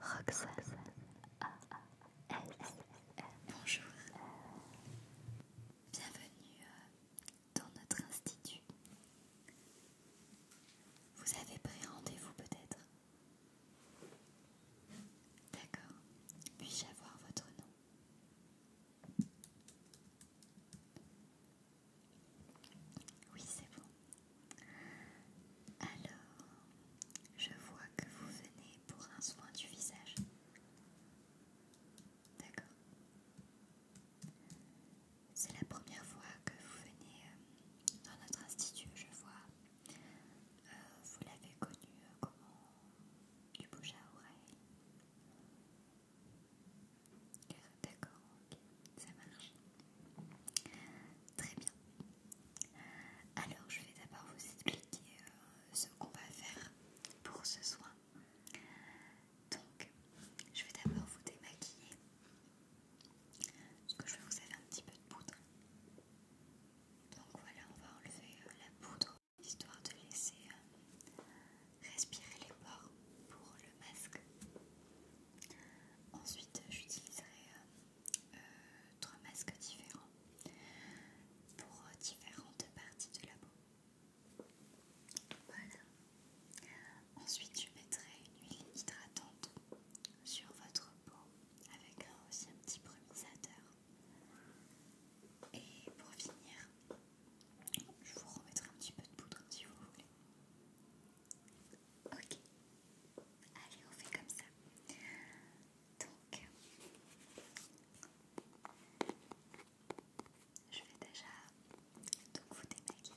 Roxas, A Bonjour Bienvenue euh, dans notre institut Vous avez pris rendez-vous peut-être D'accord Puis-je avoir votre nom Oui c'est bon alors, je vois que vous venez pour un soin du visage. D'accord. C'est la première fois que vous venez euh, dans notre institut, je vois. Euh, vous l'avez connu euh, comment Du bouche à oreille. D'accord, ok, ça marche. Très bien. Alors je vais d'abord vous expliquer euh, ce qu'on va faire pour ce soin. Donc je vais d'abord vous démaquiller. Parce que je vais vous avez un petit peu de poudre. Donc voilà, on va enlever euh, la poudre histoire de laisser euh, respirer les pores pour le masque. Ensuite, j'utiliserai euh, trois masques différents pour euh, différentes parties de la peau. Voilà. Ensuite, je mettrai une huile hydratante sur votre peau avec aussi un petit brumisateur. Et pour finir, je vous remettrai un petit peu de poudre si vous voulez. Ok. Allez, on fait comme ça. Donc, je vais déjà donc vous démaquiller.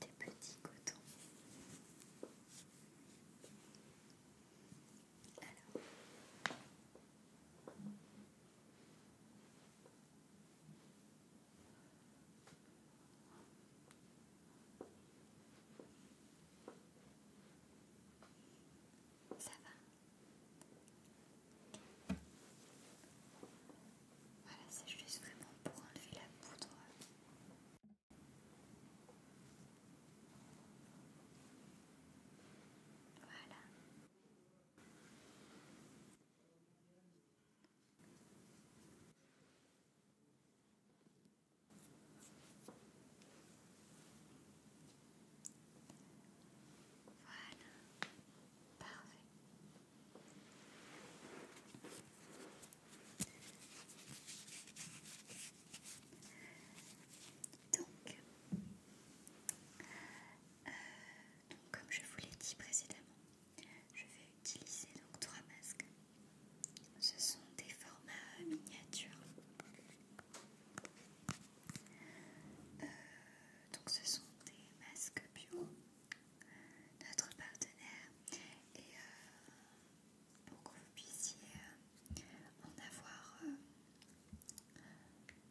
des petits cotons. Ça va voilà, c'est juste vraiment pour enlever la poudre. Voilà. Voilà. Parfait. Euh, donc, comme je vous l'ai dit précédemment, je vais utiliser donc trois masques. Ce sont des formats miniatures. Euh, donc ce sont des masques bio notre partenaire et euh, pour que vous puissiez euh, en avoir euh,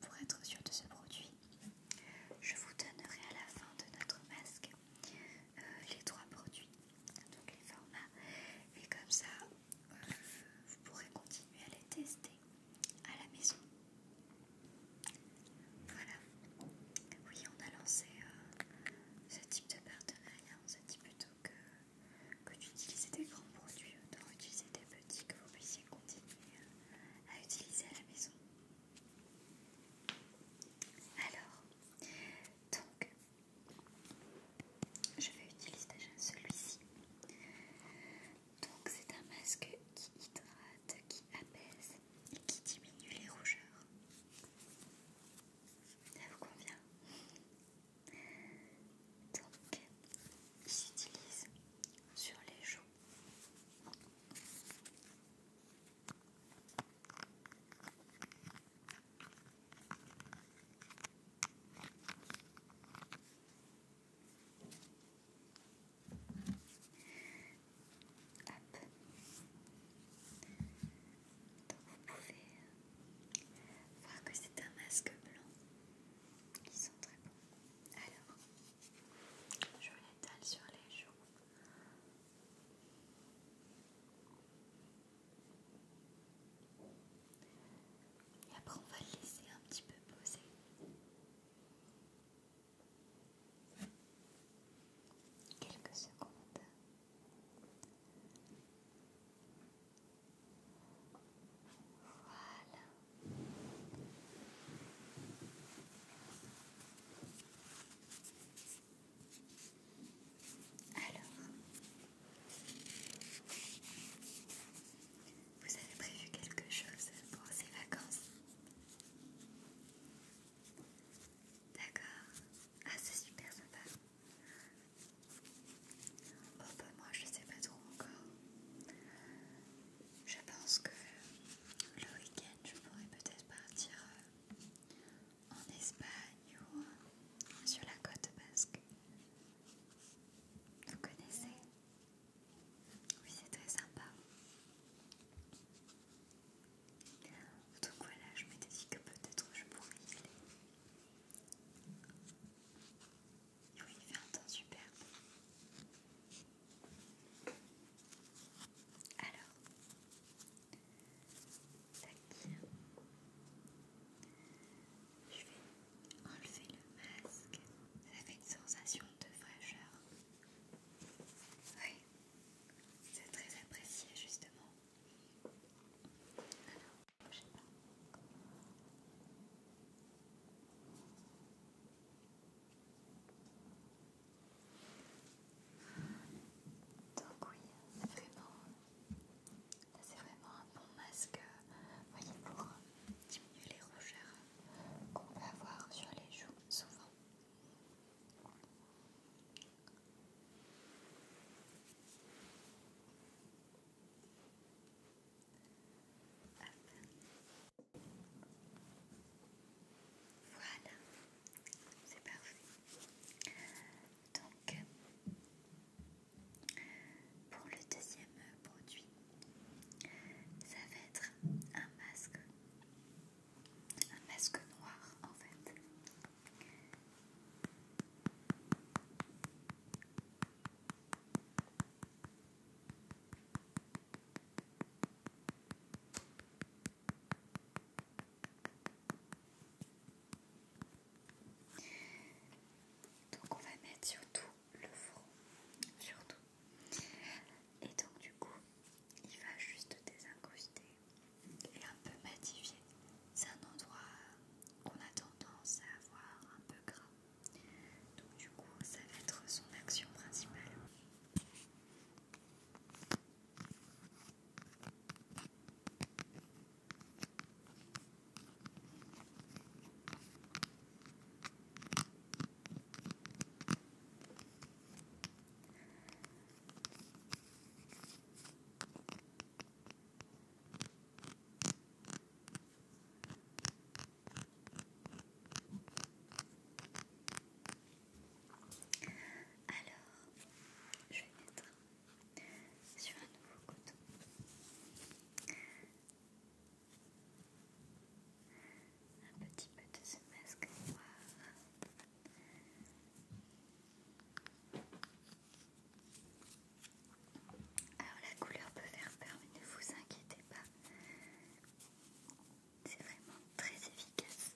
pour être sûr de ce produit. Je vous donnerai à la fin de notre masque les trois produits, donc les formats, et comme ça vous pourrez continuer à les tester à la maison. Voilà. Oui, on a lancé euh, ce type de partenariat. On s'est dit plutôt que, d'utiliser des grands produits, autant utiliser des petits que vous puissiez continuer euh, à utiliser à la maison. Alors, donc, je vais utiliser déjà celui-ci. Donc, c'est un masque qui hydrate, qui apaise, et qui diminue les rougeurs. Ça vous convient Donc, il s'utilise sur les joues. Hop. Donc vous pouvez euh, voir que c'est un masque blanc ils sont très bons. Alors, je l'étale sur les joues. Et après on va le laisser un petit peu poser. Quelques secondes. Voilà. Alors, vous avez prévu quelque chose pour ces vacances D'accord. Ah, c'est super sympa. Oh, bah, moi, je sais pas trop encore. Je pense que le week-end, je pourrais peut-être partir euh, en Espagne ou euh, sur la côte basque. Vous connaissez oui, c'est très sympa. Donc voilà, je m'étais dit que peut-être je pourrais y aller. oui, il fait un temps superbe. Alors, tac. Je vais enlever le masque. Ça fait une sensation de fraîcheur. Oui, c'est très apprécié justement. Alors, pas. Donc oui, c'est vraiment, un bon masque, euh, voyez, pour diminuer les rougeurs qu'on peut avoir sur les joues souvent. Voilà, c'est parfait. Donc, pour le deuxième produit, ça va être un masque, un masque noir en fait. Donc on va mettre surtout le front, surtout et donc du coup, il va juste désincruster et un peu matifier. C'est un endroit qu'on a tendance à avoir un peu gras. Donc du coup, ça va être son action principale. Alors, je vais mettre sur un nouveau coton un petit peu de ce masque noir. Alors la couleur peut faire peur, mais ne vous inquiétez pas. C'est vraiment très efficace.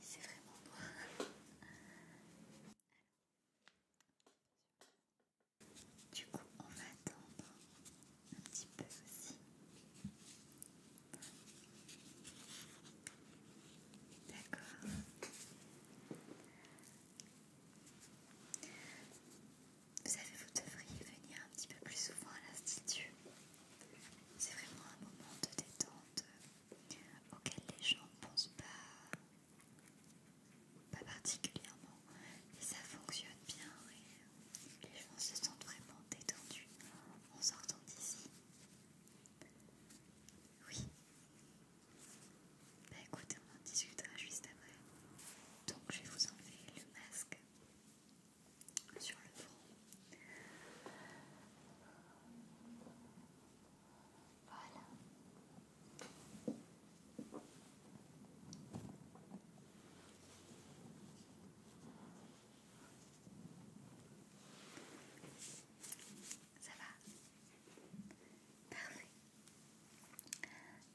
C'est vraiment noir. Du coup, on va attendre un petit peu aussi. D'accord. Vous savez, vous devriez venir un petit peu plus souvent à l'institut. C'est vraiment un moment de détente euh, auquel les gens ne pensent pas, pas particulièrement et ça fonctionne bien les gens se sentent vraiment détendus en sortant d'ici. Oui. Bah écoutez, on en discutera juste après. Donc je vais vous enlever le masque sur le front. Voilà. Ça va Parfait.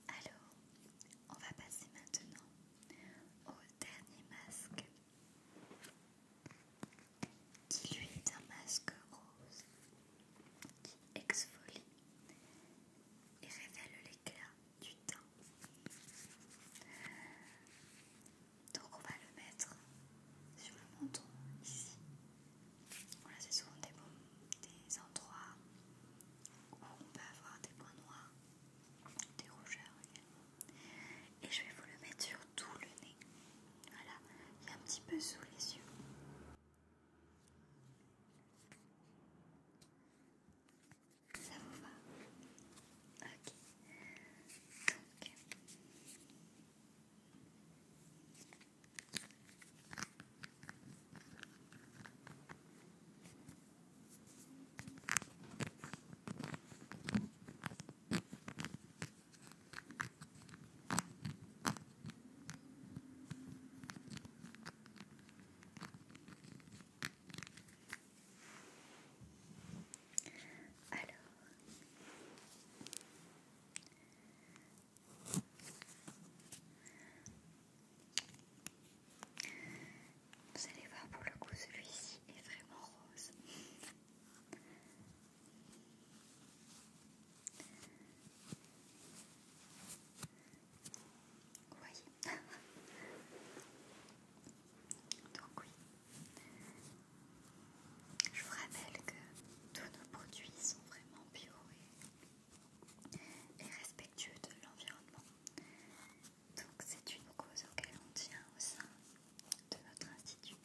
Alors, on va passer maintenant au dernier masque qui lui est un masque rose qui exfolie et révèle l'éclat du Donc on va le mettre sur le menton ici. Voilà, c'est souvent des, des endroits où on peut avoir des points noirs, des rougeurs également. Et je vais vous le mettre sur tout le nez. Voilà, et un petit peu sous les yeux. Ça vous va Ok. Donc. Alors, vous allez voir pour le coup, celui-ci est vraiment rose. Vous voyez Donc oui, je vous rappelle que tous nos produits sont vraiment bio et, respectueux de l'environnement. Donc c'est une cause auquel on tient au sein de notre institut.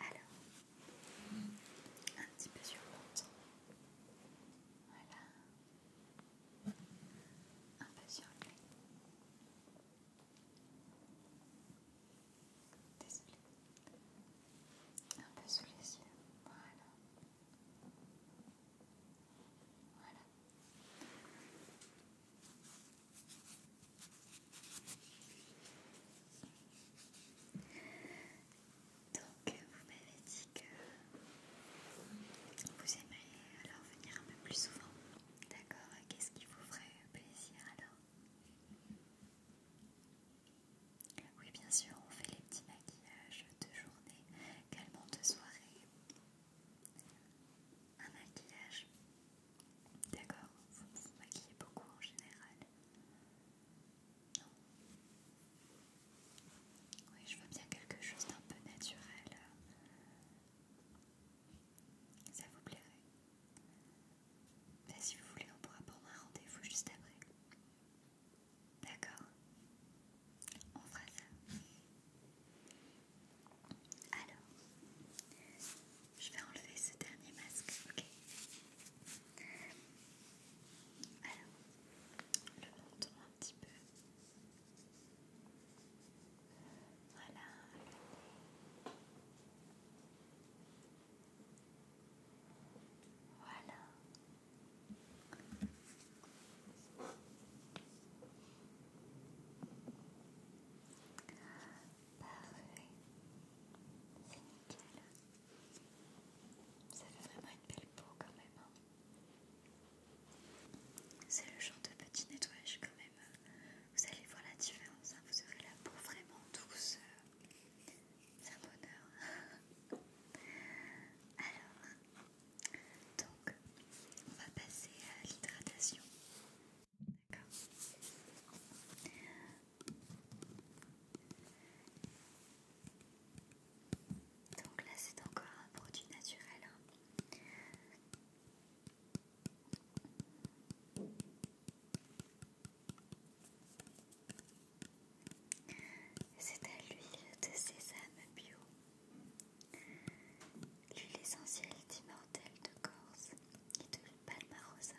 Alors, un petit peu sur Voilà un peu sur le Un peu sous les yeux. Voilà. Donc, euh, vous m'avez dit que vous aimeriez alors venir un peu plus souvent. D'accord, euh, qu'est-ce qui vous ferait plaisir alors Oui, bien sûr, on fait les petits maquillages de journée, également de soirée. Un maquillage D'accord, vous vous maquillez beaucoup en général oui, je veux bien quelque chose d'un peu naturel. Ça vous plairait ben, Si vous voulez, on pourra prendre un rendez-vous juste après. D'accord On fera ça. Alors, je vais enlever ce dernier masque, ok alors, le menton un petit peu. Voilà, le nez. Voilà. Parfait. C'est nickel. Ça fait vraiment une belle peau quand même. Hein. C'est le genre de petit nettoyage quand même. Vous allez voir la différence. Hein. Vous aurez la peau vraiment douce. C'est un bonheur. Alors, donc, on va passer à l'hydratation. D'accord donc là c'est encore un produit naturel. Hein. C'est à l'huile de sésame bio. L'huile essentielle d'immortelle de Corse et de Palmarosa.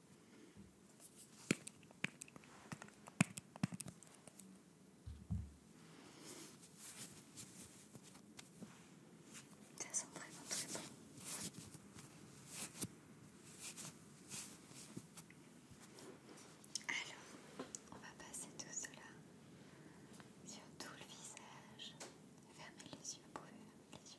Ça sent vraiment très bon. Alors, on va passer tout cela sur tout le visage. Fermez les yeux, pour les yeux.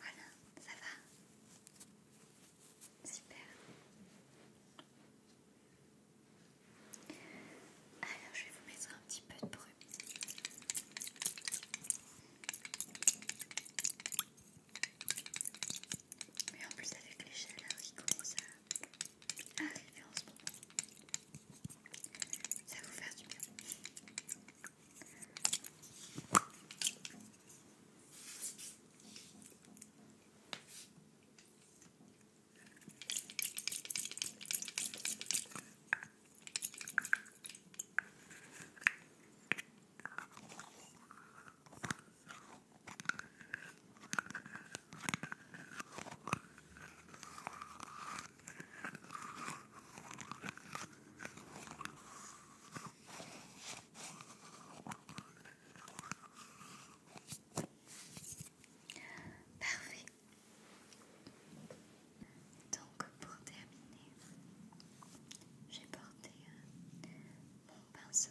Voilà, ça va Super. Alors je vais vous mettre un petit peu de bruit. Mais en plus avec les chaleurs hein, qui commencent à arriver en ce moment. Ça va vous faire du bien. Parfait. Donc pour terminer, j'ai porté euh, mon pinceau.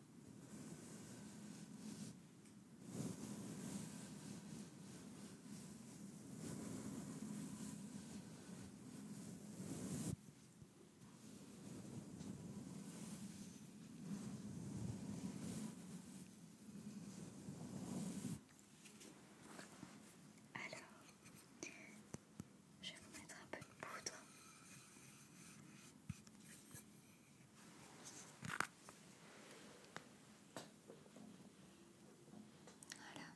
Alors, je vais vous mettre un peu de poudre. Voilà.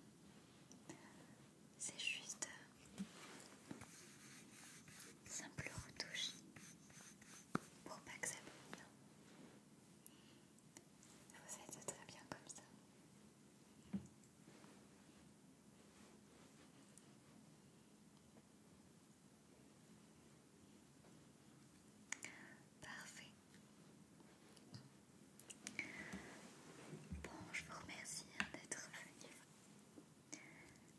C'est juste simple retouche pour pas que ça Ça Vous aide très bien comme ça. Parfait. Bon, je vous remercie hein, d'être venu.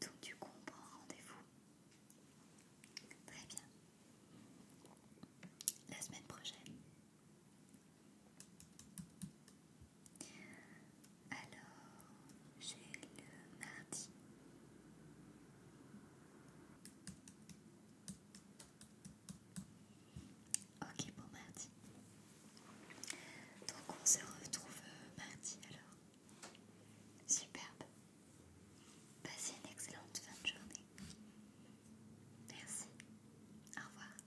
Donc du coup, on prend rendez-vous. Très bien. La semaine prochaine. Alors, j'ai le mardi. Ok, bon mardi. Donc on se retrouve euh, mardi alors. Superbe. Passez une excellente fin de journée. Merci. Au revoir.